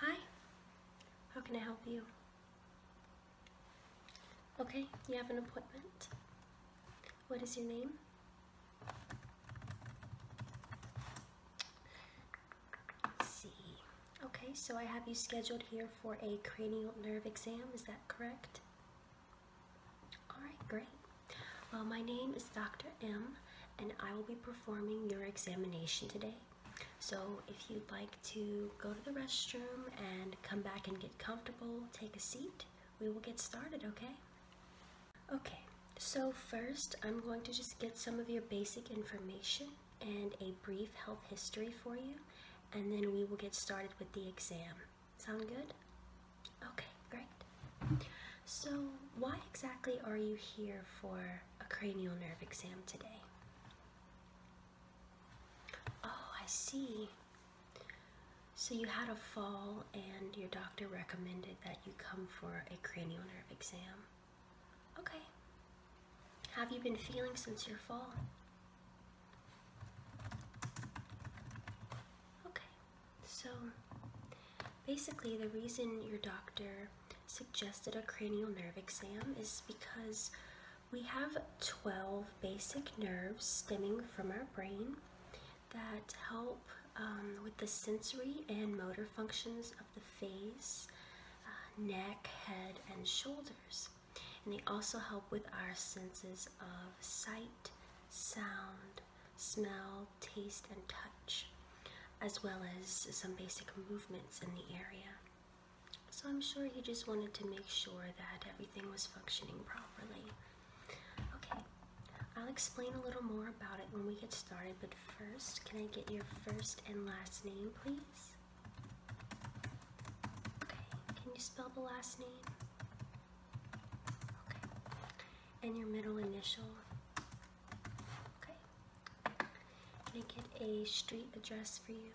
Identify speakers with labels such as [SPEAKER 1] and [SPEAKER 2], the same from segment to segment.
[SPEAKER 1] Hi, how can I help you? Okay, you have an appointment. What is your name? see. Okay, so I have you scheduled here for a cranial nerve exam, is that correct? Alright, great. Well, my name is Dr. M and I will be performing your examination today. So, if you'd like to go to the restroom and come back and get comfortable, take a seat, we will get started, okay? Okay, so first I'm going to just get some of your basic information and a brief health history for you, and then we will get started with the exam. Sound good? Okay, great. So, why exactly are you here for a cranial nerve exam today? Oh, I see. So, you had a fall, and your doctor recommended that you come for a cranial nerve exam. Okay. Have you been feeling since your fall? Okay. So, basically, the reason your doctor suggested a cranial nerve exam is because we have 12 basic nerves stemming from our brain that help um, with the sensory and motor functions of the face, uh, neck, head, and shoulders. And they also help with our senses of sight, sound, smell, taste, and touch, as well as some basic movements in the area. So I'm sure he just wanted to make sure that everything was functioning properly. Okay, I'll explain a little more about it when we get started, but first, can I get your first and last name, please? Okay, can you spell the last name? Okay, and your middle initial? Okay. Can I get a street address for you?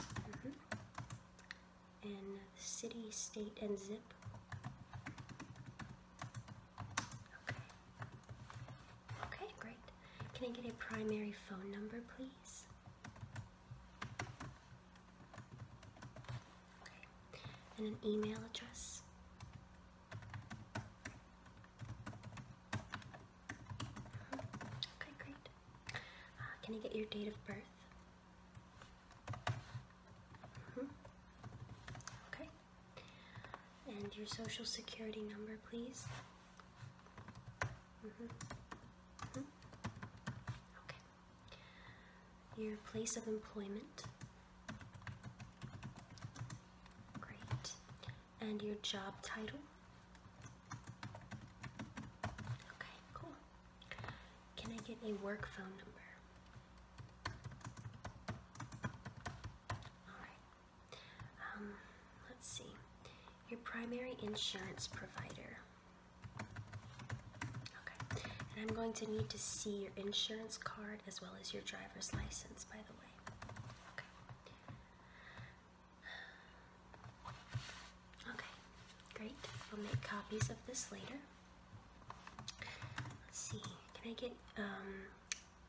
[SPEAKER 1] Okay. Mm-hmm. And city, state, and zip. Okay. Okay, great. Can I get a primary phone number, please? And an email address. Uh-huh. Okay, great. Uh, can you get your date of birth? Mm-hmm. Okay. And your social security number, please. Mm-hmm. Mm-hmm. Okay. Your place of employment. Great. And your job title. Okay, cool. Can I get a work phone number? Alright. Um, let's see. Your primary insurance provider. Okay, and I'm going to need to see your insurance card as well as your driver's license, by the way. Okay. great. We'll make copies of this later. Let's see, can I get um,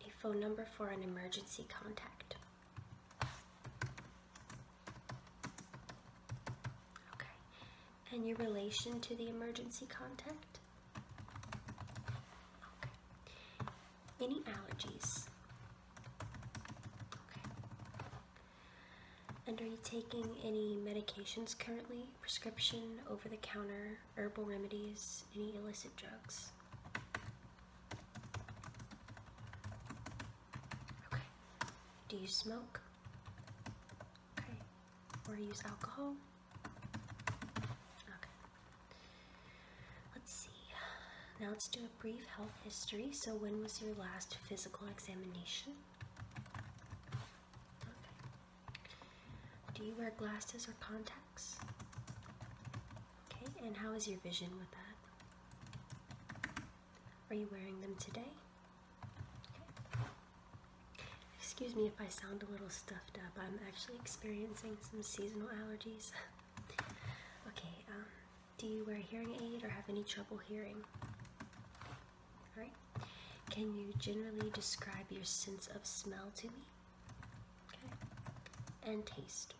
[SPEAKER 1] a phone number for an emergency contact? Okay. And your relation to the emergency contact? Any allergies? Okay. And are you taking any medications currently? Prescription, over the counter, herbal remedies, any illicit drugs? Okay. Do you smoke? Okay. Or use alcohol? Okay. Let's see. Now let's do a brief health history. So, when was your last physical examination? Okay. Do you wear glasses or contacts? Okay. And how is your vision with that? Are you wearing them today? Excuse me if I sound a little stuffed up. I'm actually experiencing some seasonal allergies. okay, um, do you wear a hearing aid or have any trouble hearing? Alright. Can you generally describe your sense of smell to me? Okay. And taste.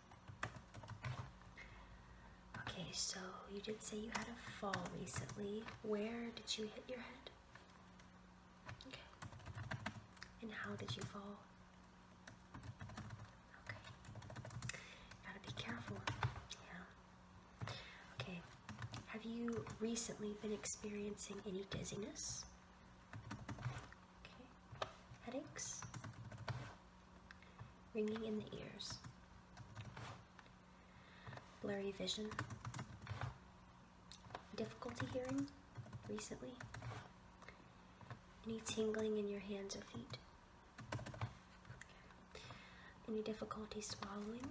[SPEAKER 1] Okay, so you did say you had a fall recently. Where did you hit your head? Okay. And how did you fall? Okay. Gotta be careful. Yeah. Okay. Have you recently been experiencing any dizziness? Okay. Headaches? ringing in the ears, blurry vision, difficulty hearing recently, any tingling in your hands or feet, any difficulty swallowing,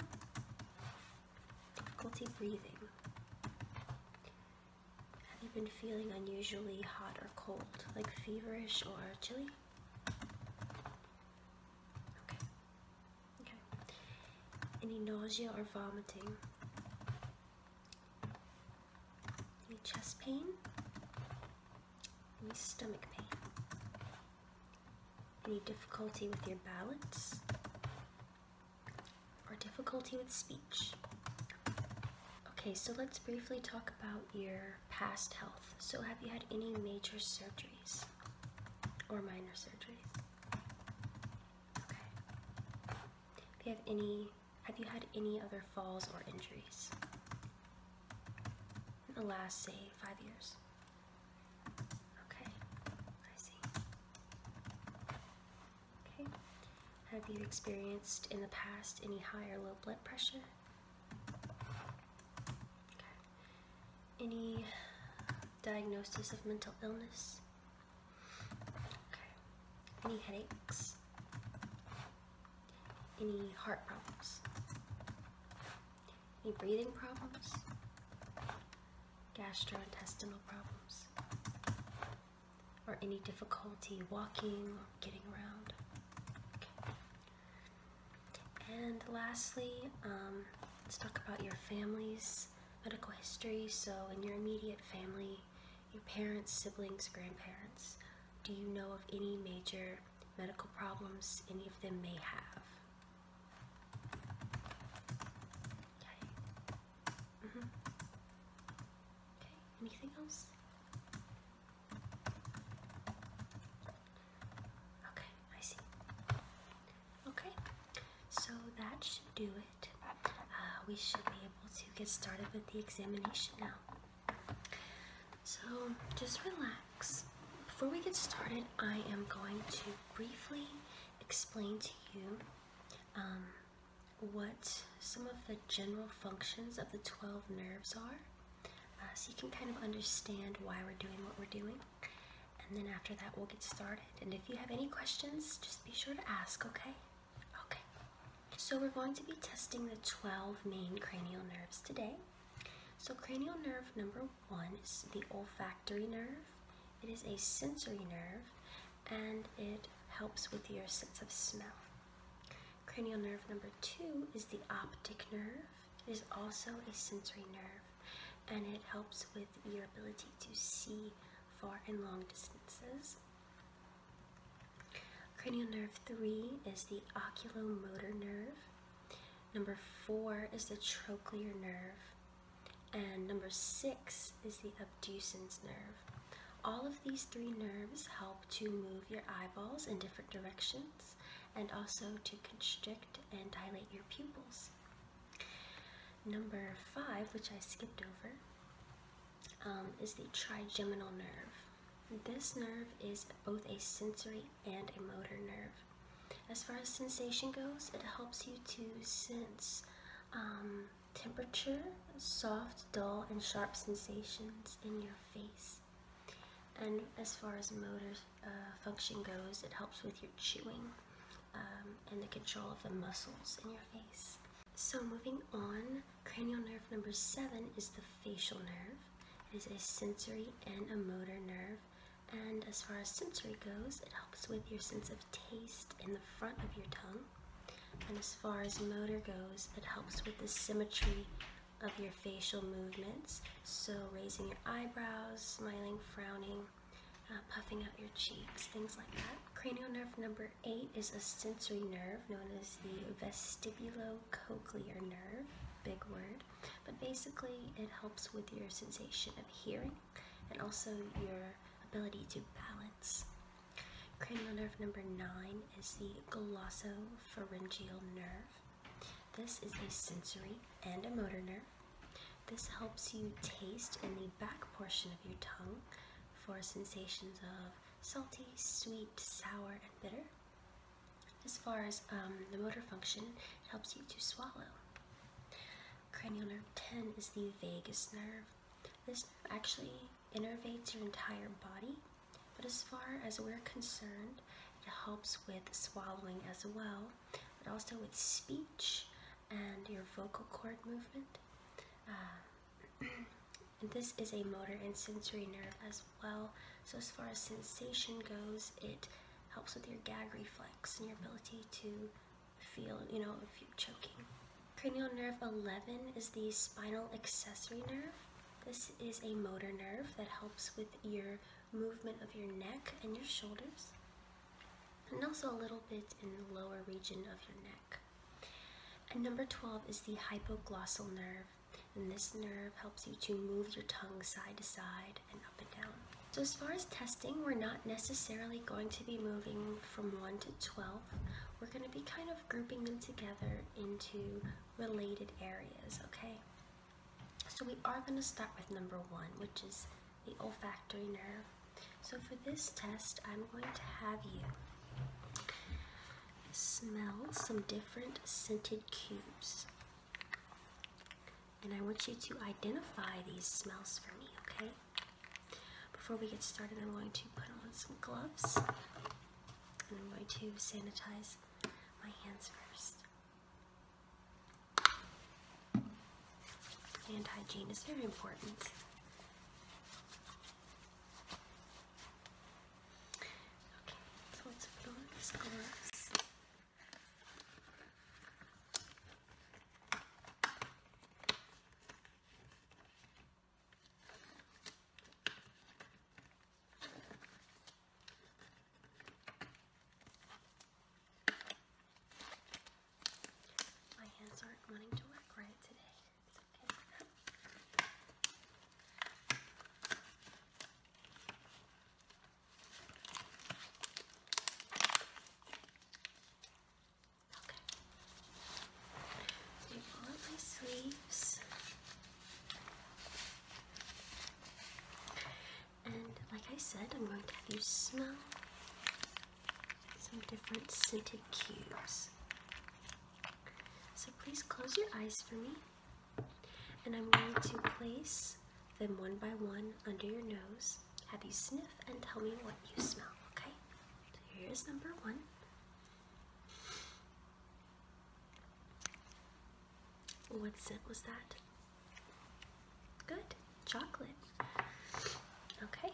[SPEAKER 1] difficulty breathing. Have you been feeling unusually hot or cold, like feverish or chilly? Okay. Okay. Any nausea or vomiting? Any chest pain? Any stomach pain? Any difficulty with your balance? Or difficulty with speech? Okay, so let's briefly talk about your past health. So, have you had any major surgeries or minor surgeries? Okay. have any, have you had any other falls or injuries in the last, say, five years? Okay, I see. Okay. Have you experienced in the past any high or low blood pressure? Any diagnosis of mental illness? Any headaches? Any heart problems? Any breathing problems? Gastrointestinal problems? Or any difficulty walking or getting around? And lastly, um, let's talk about your family's medical history. So, in your immediate family, your parents, siblings, grandparents, do you know of any major medical problems any of them may have? Okay, mm-hmm. anything else? Okay, I see. Okay, so that should do it. Uh, we should be able to get started with the examination now. So just relax. Before we get started, I am going to briefly explain to you um, what some of the general functions of the 12 nerves are uh, so you can kind of understand why we're doing what we're doing. And then after that, we'll get started. And if you have any questions, just be sure to ask, okay? Okay. So we're going to be testing the 12 main cranial nerves today. So cranial nerve number one is the olfactory nerve. It is a sensory nerve and it helps with your sense of smell. Cranial nerve number two is the optic nerve. It is also a sensory nerve and it helps with your ability to see far and long distances. Cranial nerve three is the oculomotor nerve. Number four is the trochlear nerve. And number six is the abducens nerve. All of these three nerves help to move your eyeballs in different directions and also to constrict and dilate your pupils. Number five, which I skipped over, um, is the trigeminal nerve. This nerve is both a sensory and a motor nerve. As far as sensation goes, it helps you to sense um, temperature, soft, dull, and sharp sensations in your face. And as far as motor uh, function goes, it helps with your chewing um, and the control of the muscles in your face. So moving on, cranial nerve number seven is the facial nerve. It is a sensory and a motor nerve. And as far as sensory goes, it helps with your sense of taste in the front of your tongue and as far as motor goes, it helps with the symmetry of your facial movements. So raising your eyebrows, smiling, frowning, uh, puffing out your cheeks, things like that. Cranial nerve number eight is a sensory nerve known as the vestibulocochlear nerve, big word, but basically it helps with your sensation of hearing and also your ability to balance. Cranial nerve number nine is the glossopharyngeal nerve. This is a sensory and a motor nerve. This helps you taste in the back portion of your tongue for sensations of salty, sweet, sour, and bitter. As far as um, the motor function, it helps you to swallow. Cranial nerve 10 is the vagus nerve. This nerve actually innervates your entire body, but as far as we're concerned, it helps with swallowing as well, but also with speech and your vocal cord movement. Uh, this is a motor and sensory nerve as well, so as far as sensation goes, it helps with your gag reflex and your ability to feel, you know, if you're choking. Cranial nerve 11 is the spinal accessory nerve. This is a motor nerve that helps with your movement of your neck and your shoulders, and also a little bit in the lower region of your neck. And number 12 is the hypoglossal nerve, and this nerve helps you to move your tongue side to side and up and down. So as far as testing, we're not necessarily going to be moving from 1 to 12 we're going to be kind of grouping them together into related areas, okay? So we are going to start with number one, which is the olfactory nerve. So for this test, I'm going to have you smell some different scented cubes. And I want you to identify these smells for me, okay? Before we get started, I'm going to put on some gloves and I'm going to sanitize my hands first. Hand hygiene is very important. Okay, so let's put my hands aren't wanting to work right today. It's okay. Okay. Do all of my sleeves. And like I said, I'm going to have you smell some different scented cubes. So please close your eyes for me. And I'm going to place them one by one under your nose. Have you sniff and tell me what you smell, okay? So here's number one. What scent was that? Good. Chocolate. Okay.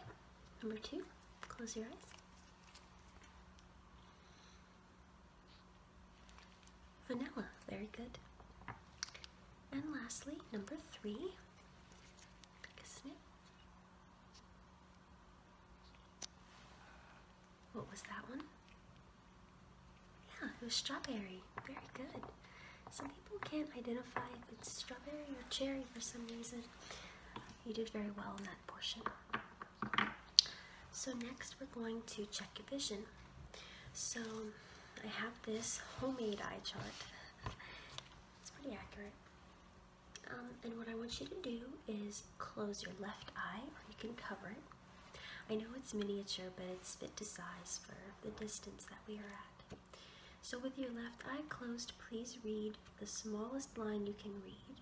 [SPEAKER 1] Number two. Close your eyes. Vanilla. Very good. And lastly, number three. a sniff. What was that one? Yeah, it was strawberry. Very good. Some people can't identify if it's strawberry or cherry for some reason. You did very well in that portion. So next we're going to check your vision. So I have this homemade eye chart. It's pretty accurate. Um, and what I want you to do is close your left eye, or you can cover it. I know it's miniature, but it's fit to size for the distance that we are at. So, with your left eye closed, please read the smallest line you can read.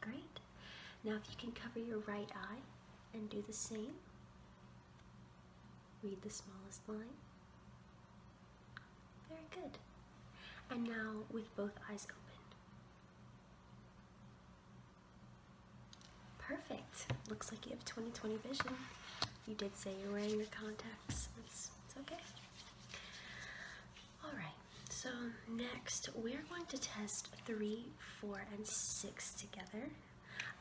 [SPEAKER 1] Great. Now, if you can cover your right eye and do the same, Read the smallest line. Very good. And now with both eyes open. Perfect. Looks like you have 20/20 vision. You did say you're wearing your contacts. It's, it's okay. All right. So next, we're going to test three, four, and six together.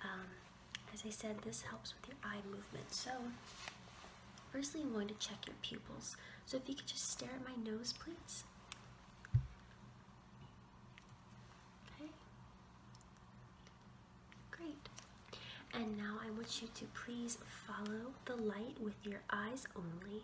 [SPEAKER 1] Um, as I said, this helps with your eye movement. So, firstly, I'm going to check your pupils. So, if you could just stare at my nose, please. Okay. Great. And now I want you to please follow the light with your eyes only.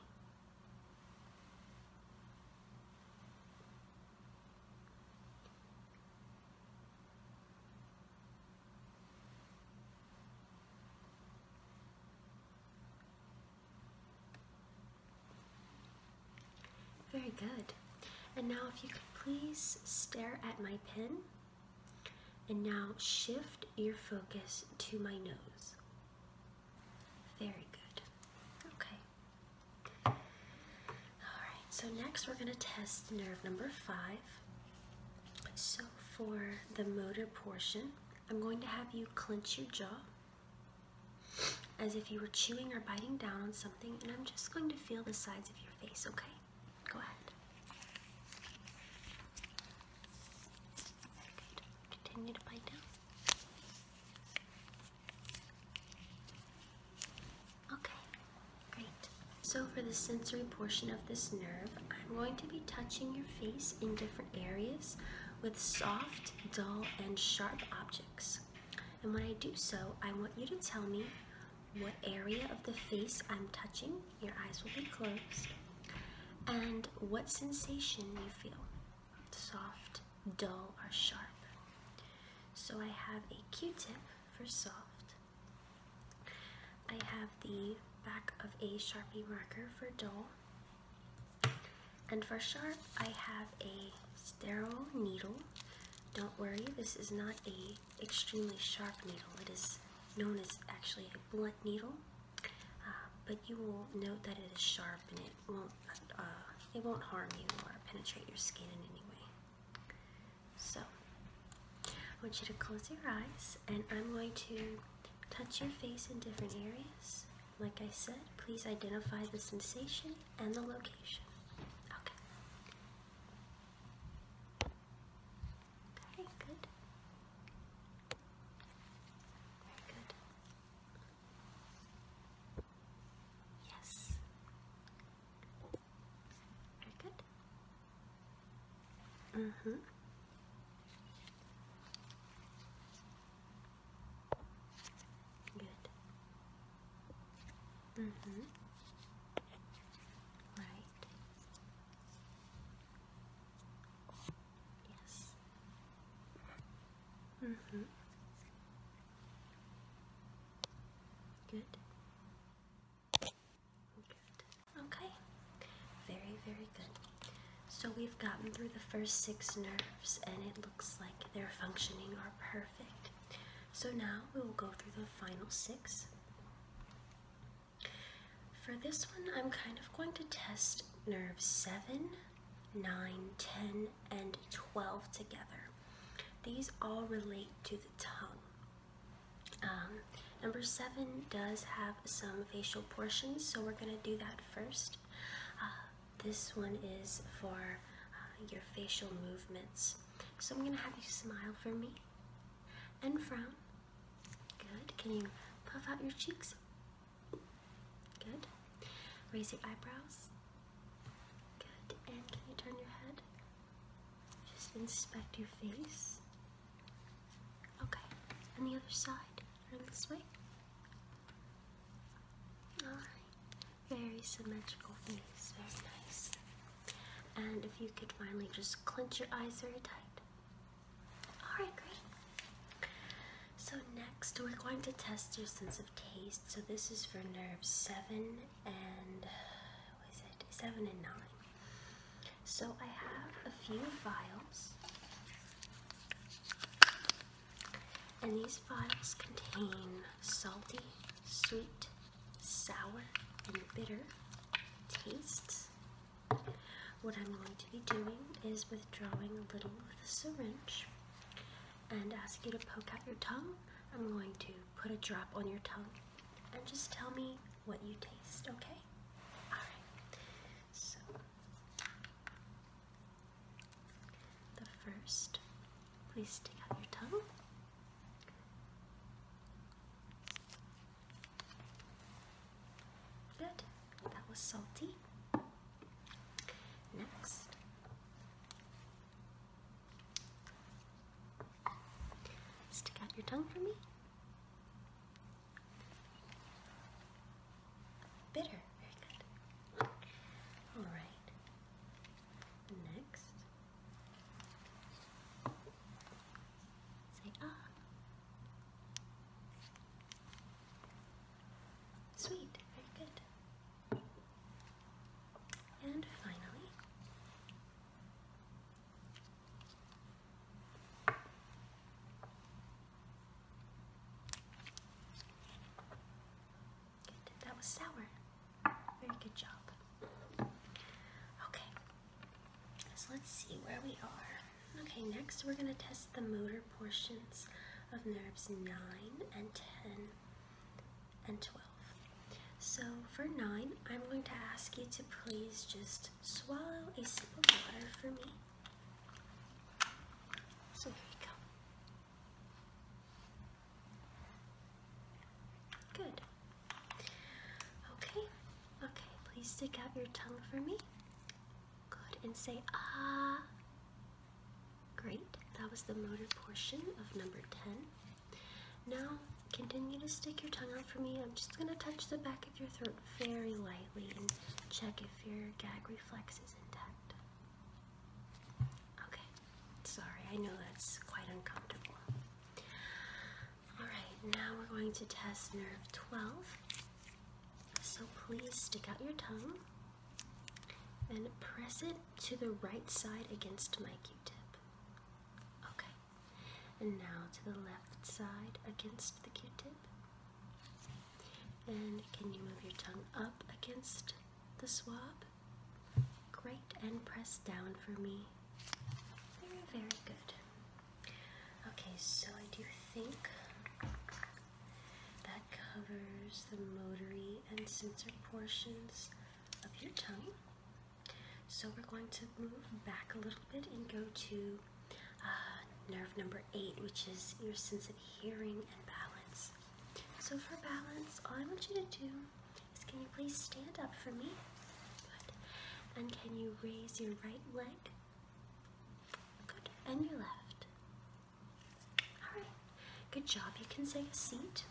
[SPEAKER 1] Very good. And now, if you could please stare at my pin, and now shift your focus to my nose. Very good. Okay. Alright, so next we're going to test nerve number five. So for the motor portion, I'm going to have you clench your jaw as if you were chewing or biting down on something, and I'm just going to feel the sides of your face, okay? Go ahead. Continue to bite down. Okay, great. So for the sensory portion of this nerve, I'm going to be touching your face in different areas with soft, dull, and sharp objects. And when I do so, I want you to tell me what area of the face I'm touching, your eyes will be closed, and what sensation you feel, soft, dull, or sharp. So I have a Q-tip for soft, I have the back of a Sharpie marker for dull. And for sharp, I have a sterile needle. Don't worry, this is not a extremely sharp needle. It is known as actually a blunt needle, uh, but you will note that it is sharp and it won't uh, it won't harm you or penetrate your skin in any way. So, I want you to close your eyes and I'm going to touch your face in different areas. Like I said, please identify the sensation and the location. Okay. Okay, good. Very good. Yes. Very good. -hmm. Good. -hmm. Right. Yes. Mm -hmm. Good. Okay. Very, very good. So we've gotten through the first six nerves and it looks like they're functioning are perfect. So now we will go through the final six. For this one, I'm kind of going to test nerves 7, 9, 10, and 12 together. These all relate to the tongue. Um, number seven does have some facial portions, so we're going to do that first. Uh, this one is for uh, your facial movements. So I'm going to have you smile for me and frown. Good. Can you puff out your cheeks? Good. Raise your eyebrows Good. And can you turn your head? Just inspect your face. Okay. And the other side. Turn this way. Alright. Very symmetrical face. Very nice. And if you could finally just clench your eyes very tight. Alright, great. So next we're going to test your sense of taste. So this is for nerve 7 and what is it seven and nine. So I have a few files, and these files contain salty, sweet, sour, and bitter tastes. What I'm going to be doing is withdrawing a little with a syringe and ask you to poke out your tongue, I'm going to put a drop on your tongue and just tell me what you taste, okay? Alright, so the first, please stick out your tongue. Good, that was salty. Next, Stick out your tongue for me. Bitter, very good. All right. Next, say ah. Sweet, very good. And finally, That was sour. Very good job. Okay, so let's see where we are. Okay, next we're going to test the motor portions of nerves 9 and 10 and 12. So for 9, I'm going to ask you to please just swallow a sip of water for me. So here you go. Good. Okay, okay, please stick out your tongue for me. Good, and say ah, Great, that was the motor portion of number 10. Now, continue to stick your tongue out for me. I'm just going to touch the back of your throat very lightly and check if your gag reflex is intact. Okay, sorry, I know that's quite uncomfortable. Alright, now we're going to test nerve 12. So please stick out your tongue and press it to the right side against my q-tip. Okay, and now to the left side against the q-tip. And can you move your tongue up against the swab? Great, and press down for me. Very, very good. Okay, so I do think that covers the motory and sensory portions of your tongue. So we're going to move back a little bit and go to uh, nerve number eight, which is your sense of hearing and balance. So for balance, all I want you to do is can you please stand up for me? And can you raise your right leg? Good. And your left. Alright, good job. You can say a seat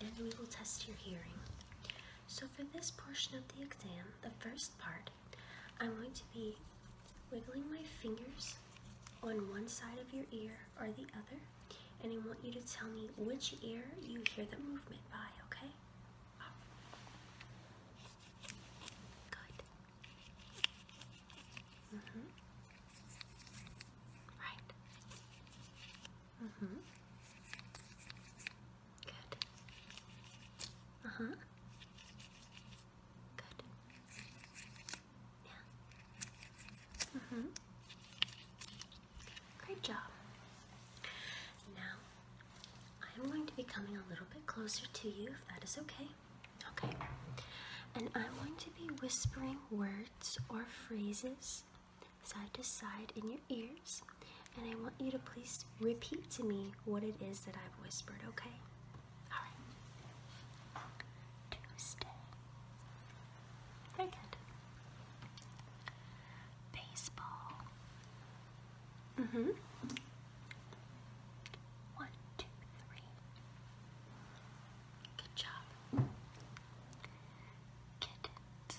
[SPEAKER 1] and we will test your hearing. So, for this portion of the exam, the first part, I'm going to be wiggling my fingers on one side of your ear or the other, and I want you to tell me which ear you hear the movement by, okay? Good. Mm -hmm. Right. Mm hmm. Good. Uh huh. Uh-huh. Good. Yeah. Mm hmm. Great job. Now, I am going to be coming a little bit closer to you if that is okay. Okay. And I'm going to be whispering words or phrases side to side in your ears. And I want you to please repeat to me what it is that I've whispered, okay? Alright. Tuesday. Very Baseball. Mm-hmm. One, two, three. Good job. Kittens.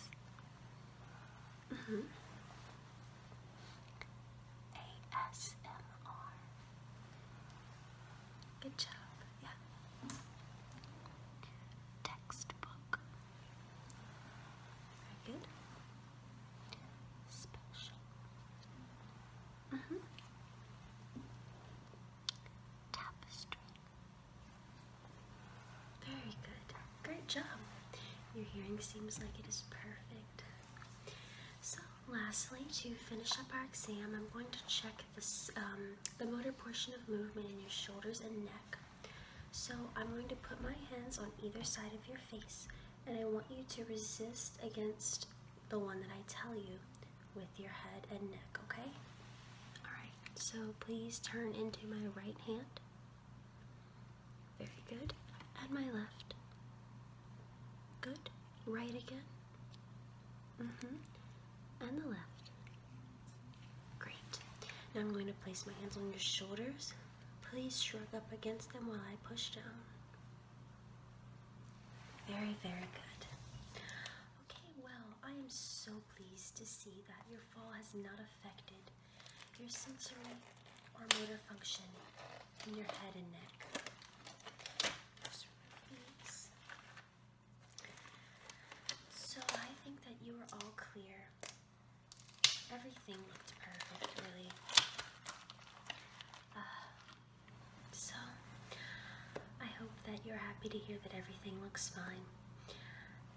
[SPEAKER 1] Mm -hmm. ASMR. Good job, yeah. Textbook. good. Special. Mm -hmm. Tapestry. Very good. Great job. Your hearing seems like it is perfect. So, lastly, to finish up our exam, I'm going to check this, um, the motor portion of movement in your shoulders and neck. So, I'm going to put my hands on either side of your face, and I want you to resist against the one that I tell you with your head and neck, okay? Alright, so please turn into my right hand. Very good. And my left. Good. Right again. Mm-hmm. And the left. Great. Now I'm going to place my hands on your shoulders. Please shrug up against them while I push down. Very, very good. Okay, well, I am so pleased to see that your fall has not affected your sensory or motor function in your head and neck. So I think that you are all clear. Everything looked perfect, really. Uh, so, I hope that you're happy to hear that everything looks fine.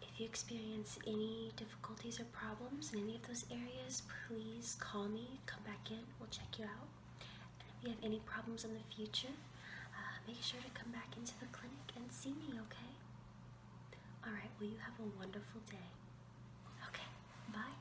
[SPEAKER 1] If you experience any difficulties or problems in any of those areas, please call me, come back in, we'll check you out. And if you have any problems in the future, uh, make sure to come back into the clinic and see me, okay? Alright, well, you have a wonderful day. Okay, bye.